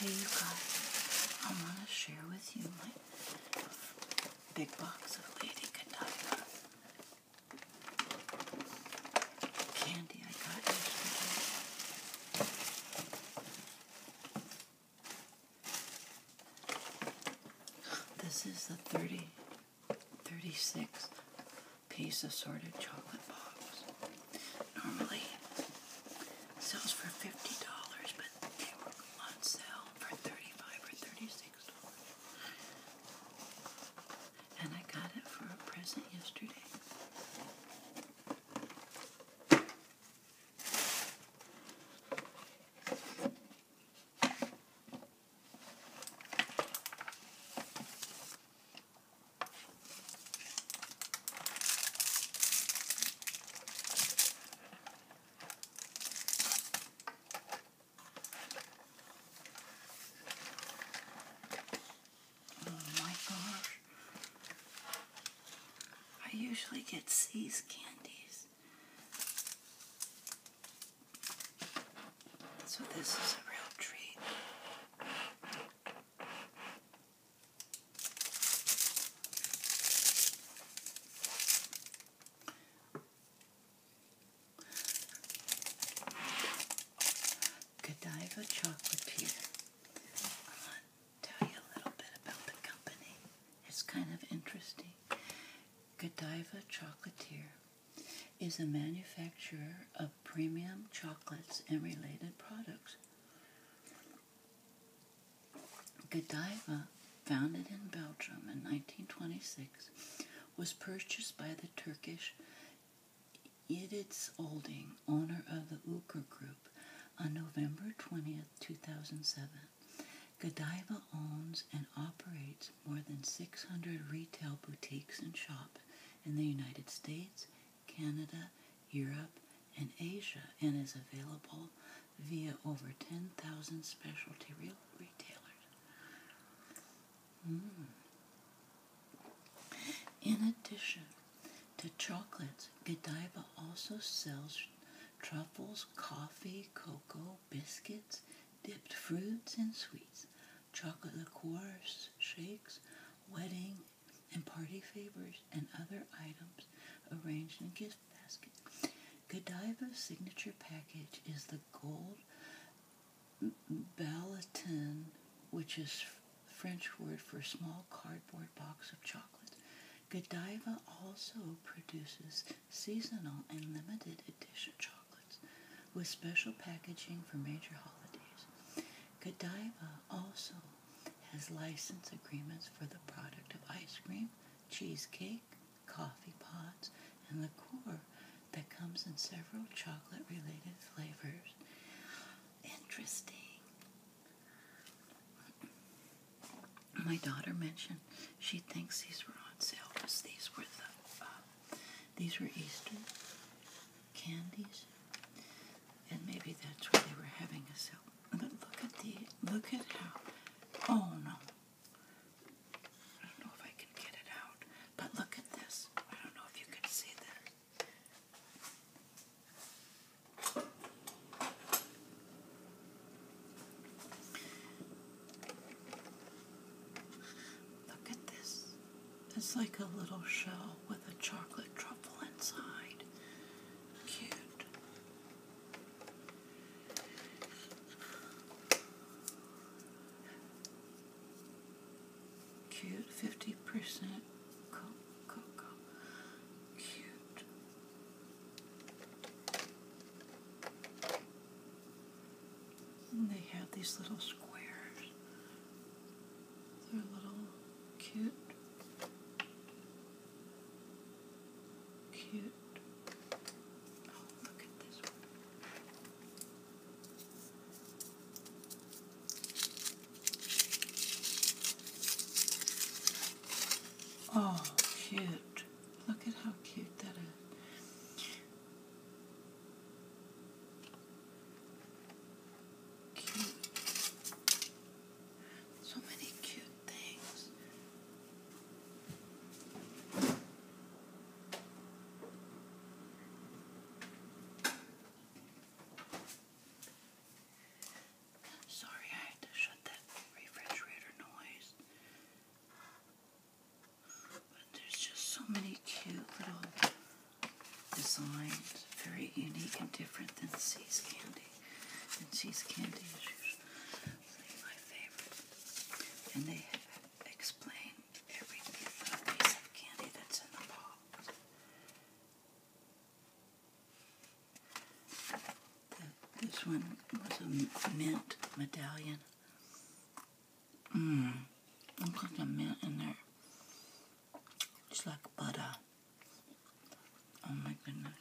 Hey you guys, I want to share with you my big box of Lady Godiva candy I got yesterday. This is the 30 36 piece assorted chocolate box. Normally sells for $50, but they were on sale for 35 or $36. And I got it for a present yesterday. Oh my gosh. I usually get these candies. So this is a real treat. Godiva Chocolatier. I want to tell you a little bit about the company. It's kind of interesting. Godiva Chocolatier is a manufacturer of premium chocolates and related products. Godiva, founded in Belgium in 1926, was purchased by the Turkish Yediz Holding, owner of the Uker Group, on November 20th, 2007. Godiva owns and operates more than 600 retail boutiques and shops in the United States, Canada, Europe, and Asia, and is available via over 10,000 specialty re retailers. Hmm. In addition to chocolates, Godiva also sells truffles, coffee, cocoa, biscuits, dipped fruits and sweets, chocolate liqueurs, shakes, wedding and party favors, and other items arranged in gift baskets. Godiva's signature package is the gold balatin, which is French word for small cardboard box of chocolate. Godiva also produces seasonal and limited edition chocolates with special packaging for major holidays. Godiva also has license agreements for the product of ice cream, cheesecake, coffee pods, and liqueur that comes in several chocolate related flavors. Interesting. My daughter mentioned she thinks these were on sale because these were the uh, these were Easter candies, and maybe that's why they were having a sale. But look at the look at how oh no. I don't know if I can get it out, but look at this. I don't know if you can see this. Look at this. It's like a little shell with a chocolate truffle inside. Cute. Cute 50% Coco. Cute. they have these little squares. They're little cute. Cute. Oh, look at this one. Oh, cute. Look at how cute that is. So many cute things. Sorry, I had to shut that refrigerator noise. But there's just so many cute little designs, very unique and different than See's Candy. And See's Candy is usually my favorite. And they explain every little piece candy that's in the box. This one was a mint medallion. Mmm. Looks like a mint in there. It's like butter. Oh my goodness.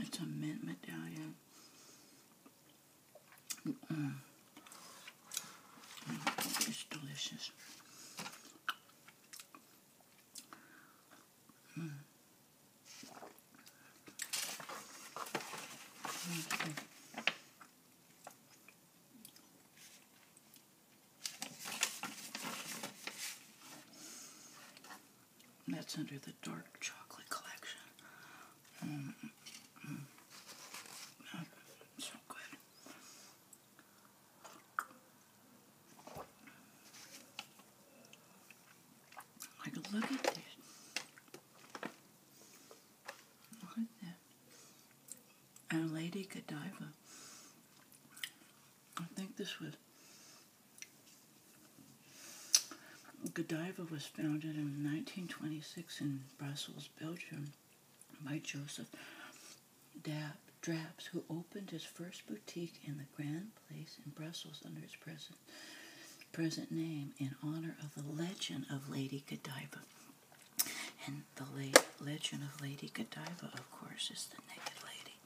It's a mint medallion. Mm it's delicious. Mm. Mm-hmm. Okay. That's under the dark chocolate collection. Mm-hmm. Mm-hmm. So good. Like, look at this. Look at that. And Lady Godiva. I think this was. Godiva was founded in 1926 in Brussels, Belgium by Joseph Dab, Draps, who opened his first boutique in the Grand Place in Brussels under his present, present name in honor of the legend of Lady Godiva. And the late legend of Lady Godiva, of course, is the naked lady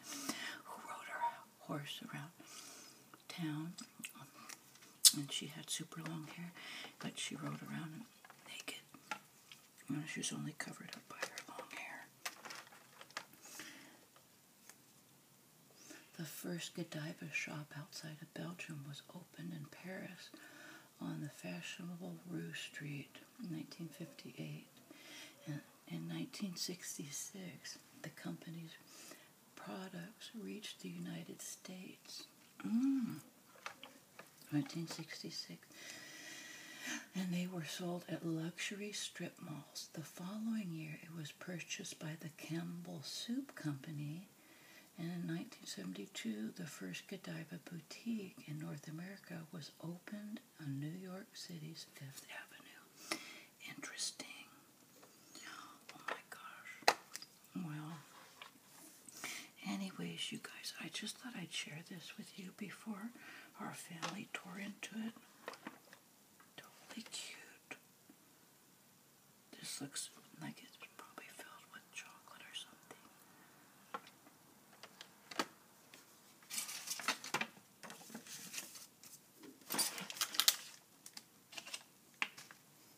who rode her horse around town. and she had super long hair, but she rode around naked. And she was only covered up by her long hair. The first Godiva shop outside of Belgium was opened in Paris on the fashionable Rue Street in 1958. And in 1966, the company's products reached the United States. 1966. Mm. And they were sold at luxury strip malls. The following year, it was purchased by the Campbell Soup Company. And in 1972, the first Godiva boutique in North America was opened on New York City's Fifth Avenue. Interesting. Oh my gosh. Well, anyways, you guys, I just thought I'd share this with you before our family tore into it. Totally cute. This looks like it's probably filled with chocolate or something.